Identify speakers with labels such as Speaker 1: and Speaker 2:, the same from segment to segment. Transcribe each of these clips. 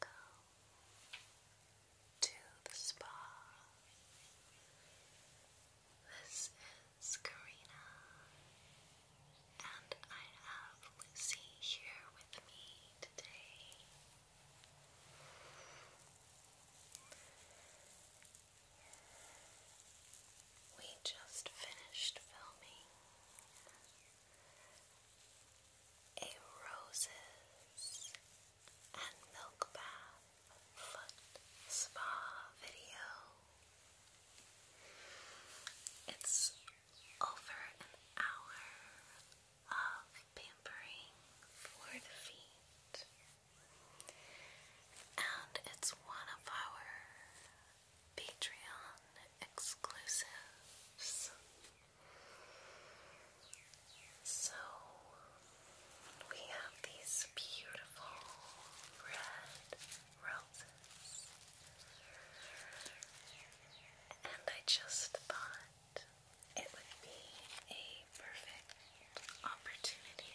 Speaker 1: Welcome to the spa. This is Karina, and I have Lucy here with me today. We just finished filming a roses and milk bath foot spa video. It's over an hour of pampering for the feet, and it's one of our Patreon exclusives. So, we have these beautiful red and I just thought it would be a perfect opportunity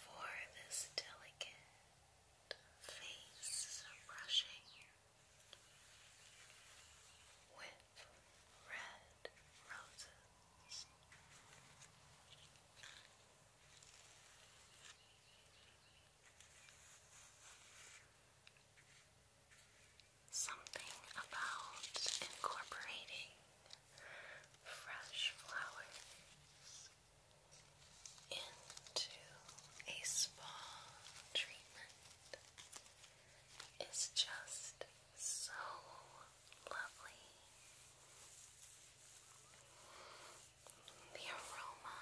Speaker 1: for this delicate face brushing with red roses. Something about incorporating fresh flowers into a spa treatment is just so lovely. The aroma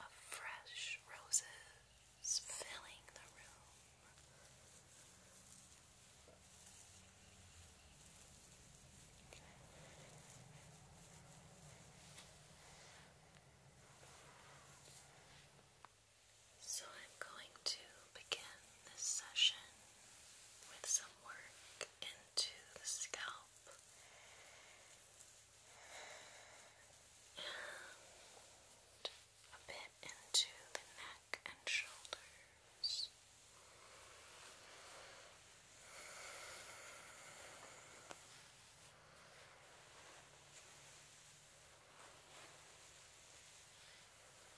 Speaker 1: of fresh roses filling the room. So I'm going to begin this session with some work into the scalp. a bit into the neck and shoulders.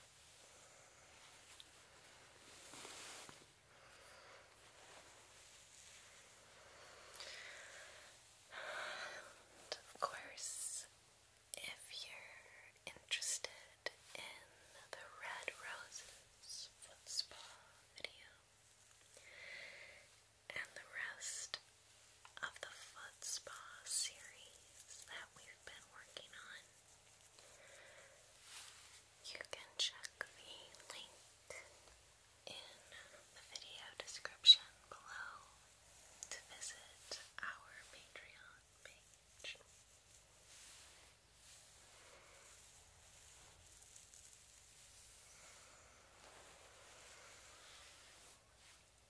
Speaker 1: And of course, if you're interested in the Red Roses foot spa video and the rest of the foot spa series that we i been working on. You can check the link in the video description below to visit our Patreon page.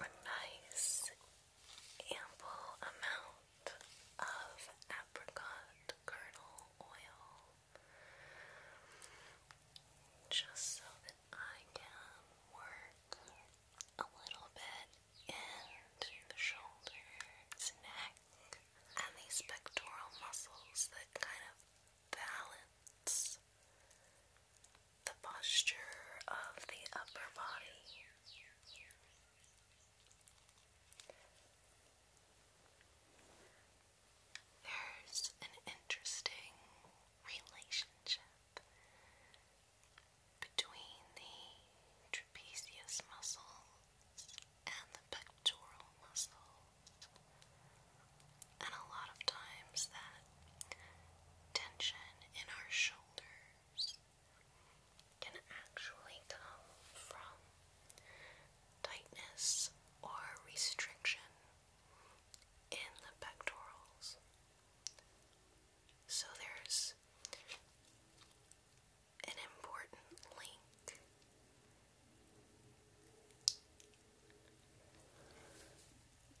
Speaker 1: A nice ample amount of apricot kernel oil just so that I can work a little bit into the shoulders, neck, and these pectoral muscles that kind of balance the posture of the upper body. There's an interesting relationship between the trapezius muscles and the pectoral muscles, and a lot of times that tension in our shoulders can actually come from tightness or restriction in the pectorals. So there's an important link.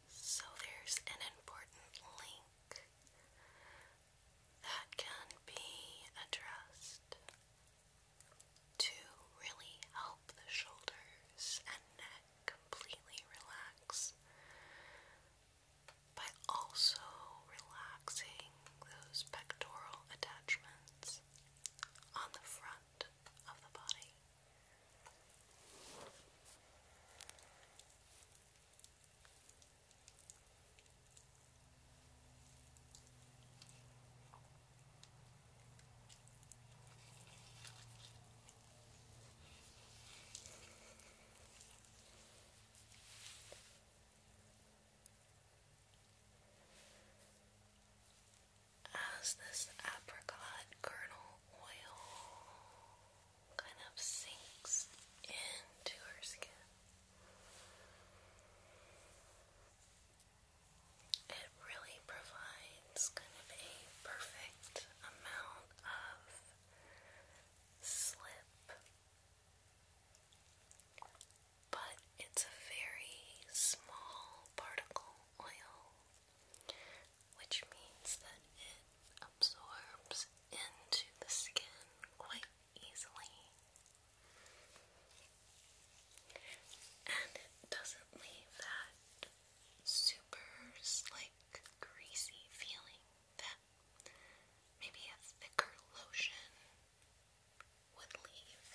Speaker 1: So there's an important link that can be addressed to really help the shoulders and neck completely relax by also relaxing those pectoral attachments on the front of the body. As this apricot kernel oil kind of sinks into her skin, it really provides kind of a perfect amount of slip, but it's a very small particle oil, which means that it absorbs into the skin quite easily. And it doesn't leave that super, like, greasy feeling that maybe a thicker lotion would leave.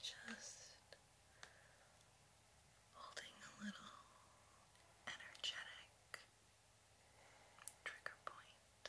Speaker 1: Just holding a little energetic trigger point. Now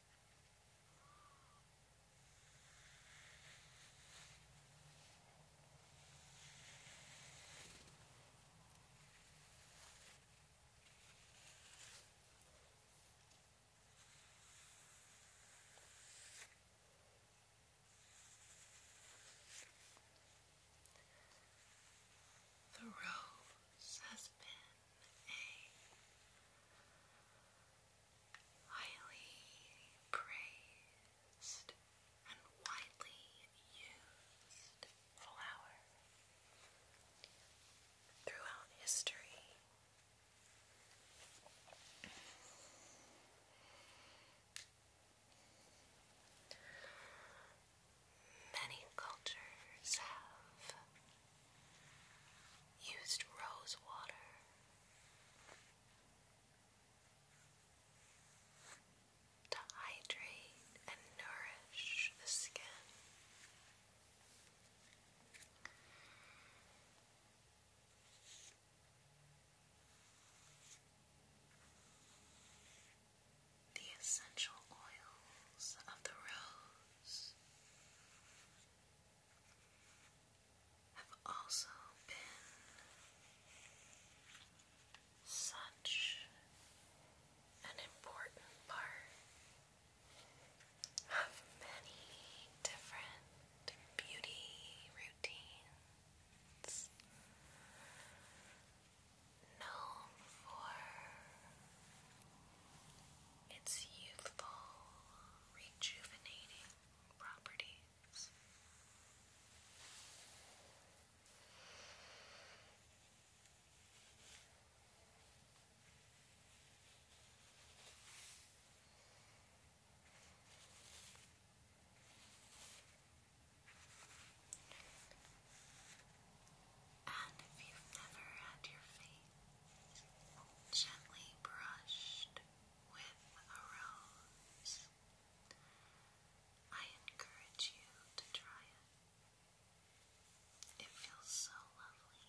Speaker 1: The rose has been a highly praised and widely used flower throughout history. Many cultures have used rose water. To hydrate and nourish the skin. The essential oils of the rose have also been such an important part of many different beauty routines known for its youthful rejuvenating properties. And if you've never had your feet gently brushed with a rose. I encourage you to try it. It feels so lovely.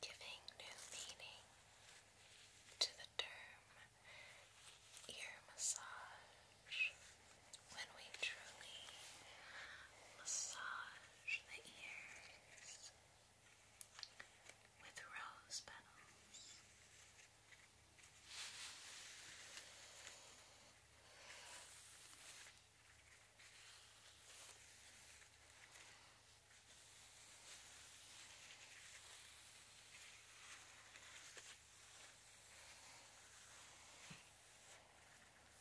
Speaker 1: Giving new meaning to the term ear massage when we truly massage the ears with rose petals.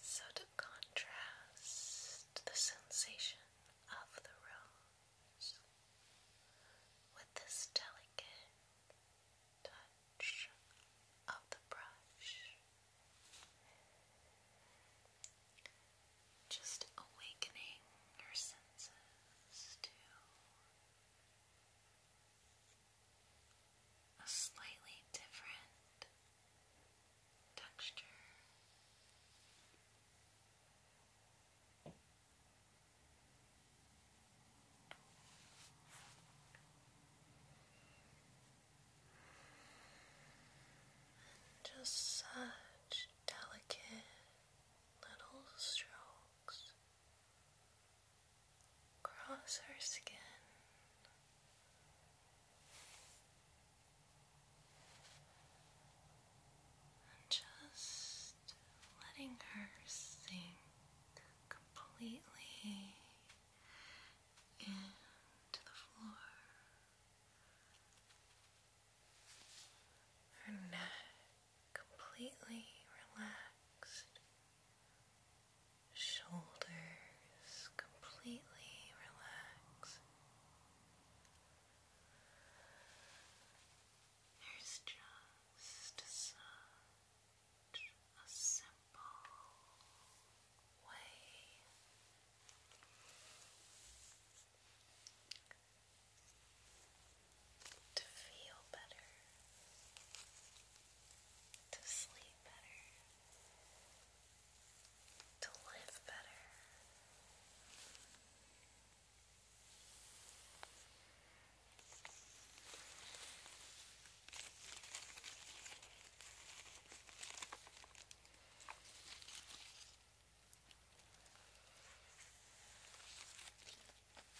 Speaker 1: So, to contrast the sensation of the rose with this delicate touch of the brush, just awakening your senses to a slightly different texture. just such delicate little strokes Cross our skin. just letting her sink completely into the floor. Her neck completely relaxed, shoulders completely relaxed. There's just such a simple way to feel better, to sleep better, to live better.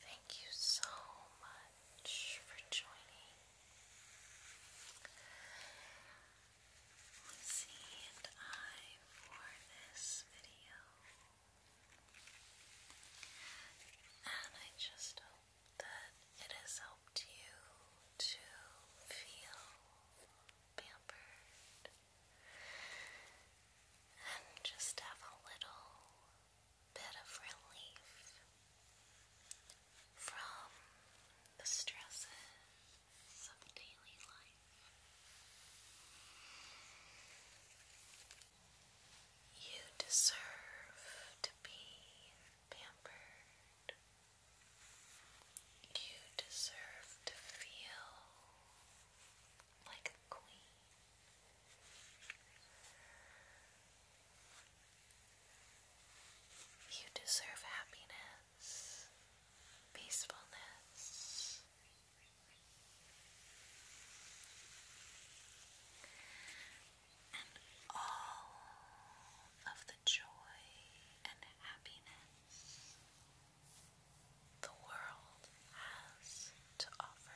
Speaker 1: Thank you so much for joining. Lucy and I for this video. And I just hope that it has helped you to feel pampered and just have a little bit of relief from the stresses of daily life. You deserve to be pampered. You deserve to feel like a queen. You deserve happiness, peacefulness, and all of the joy and happiness the world has to offer.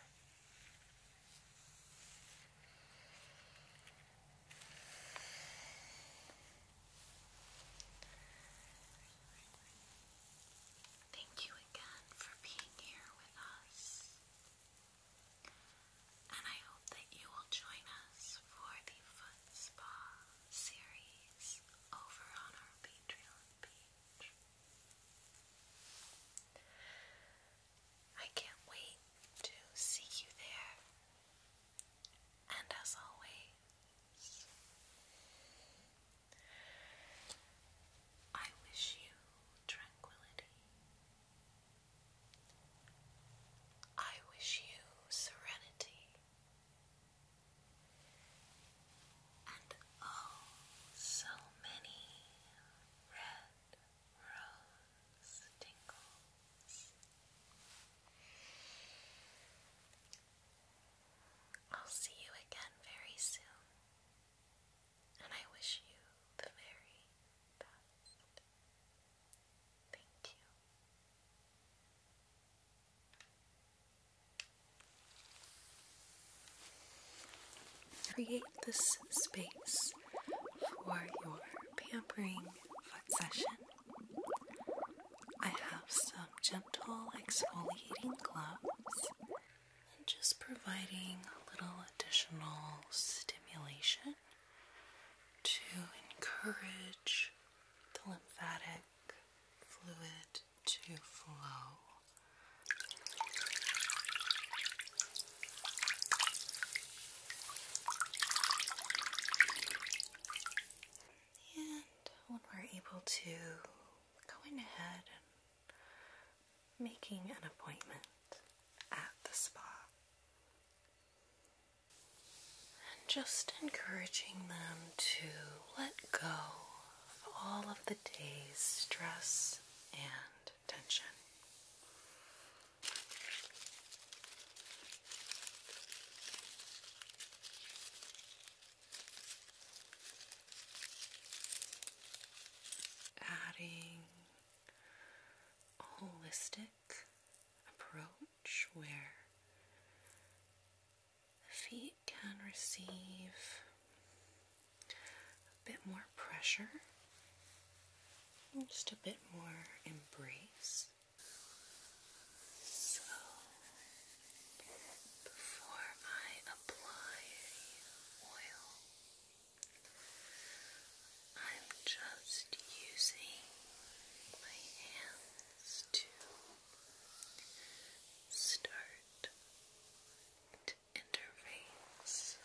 Speaker 1: Thank you again for being here with us. And I hope that you will join us for the Foot Spa series over on our Patreon page. I can't wait to see you there. And as always, I wish you tranquility. I wish you serenity. And oh, so many red rose tingles. I'll see you again very soon, and I wish you the very best. Thank you. Create this space for your pampering foot session. I have some gentle exfoliating gloves and just providing a little additional stimulation to encourage the lymphatic fluid to flow. And when we're able to going ahead and making an appointment at the spa. And just encouraging them to let go of all of the day's stress and tension adding a holistic approach where the feet can receive a bit more pressure, just a bit more embrace. So, before I apply oil, I'm just using my hands to start to interface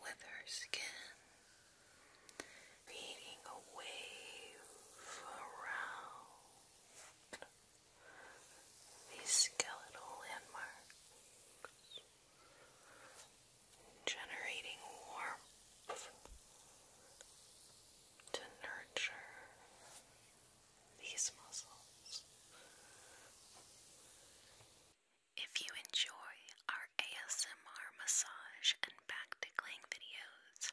Speaker 1: with her skin, creating a wave around these skeletal landmarks, generating warmth to nurture these muscles. If you enjoy our ASMR massage and back tickling videos,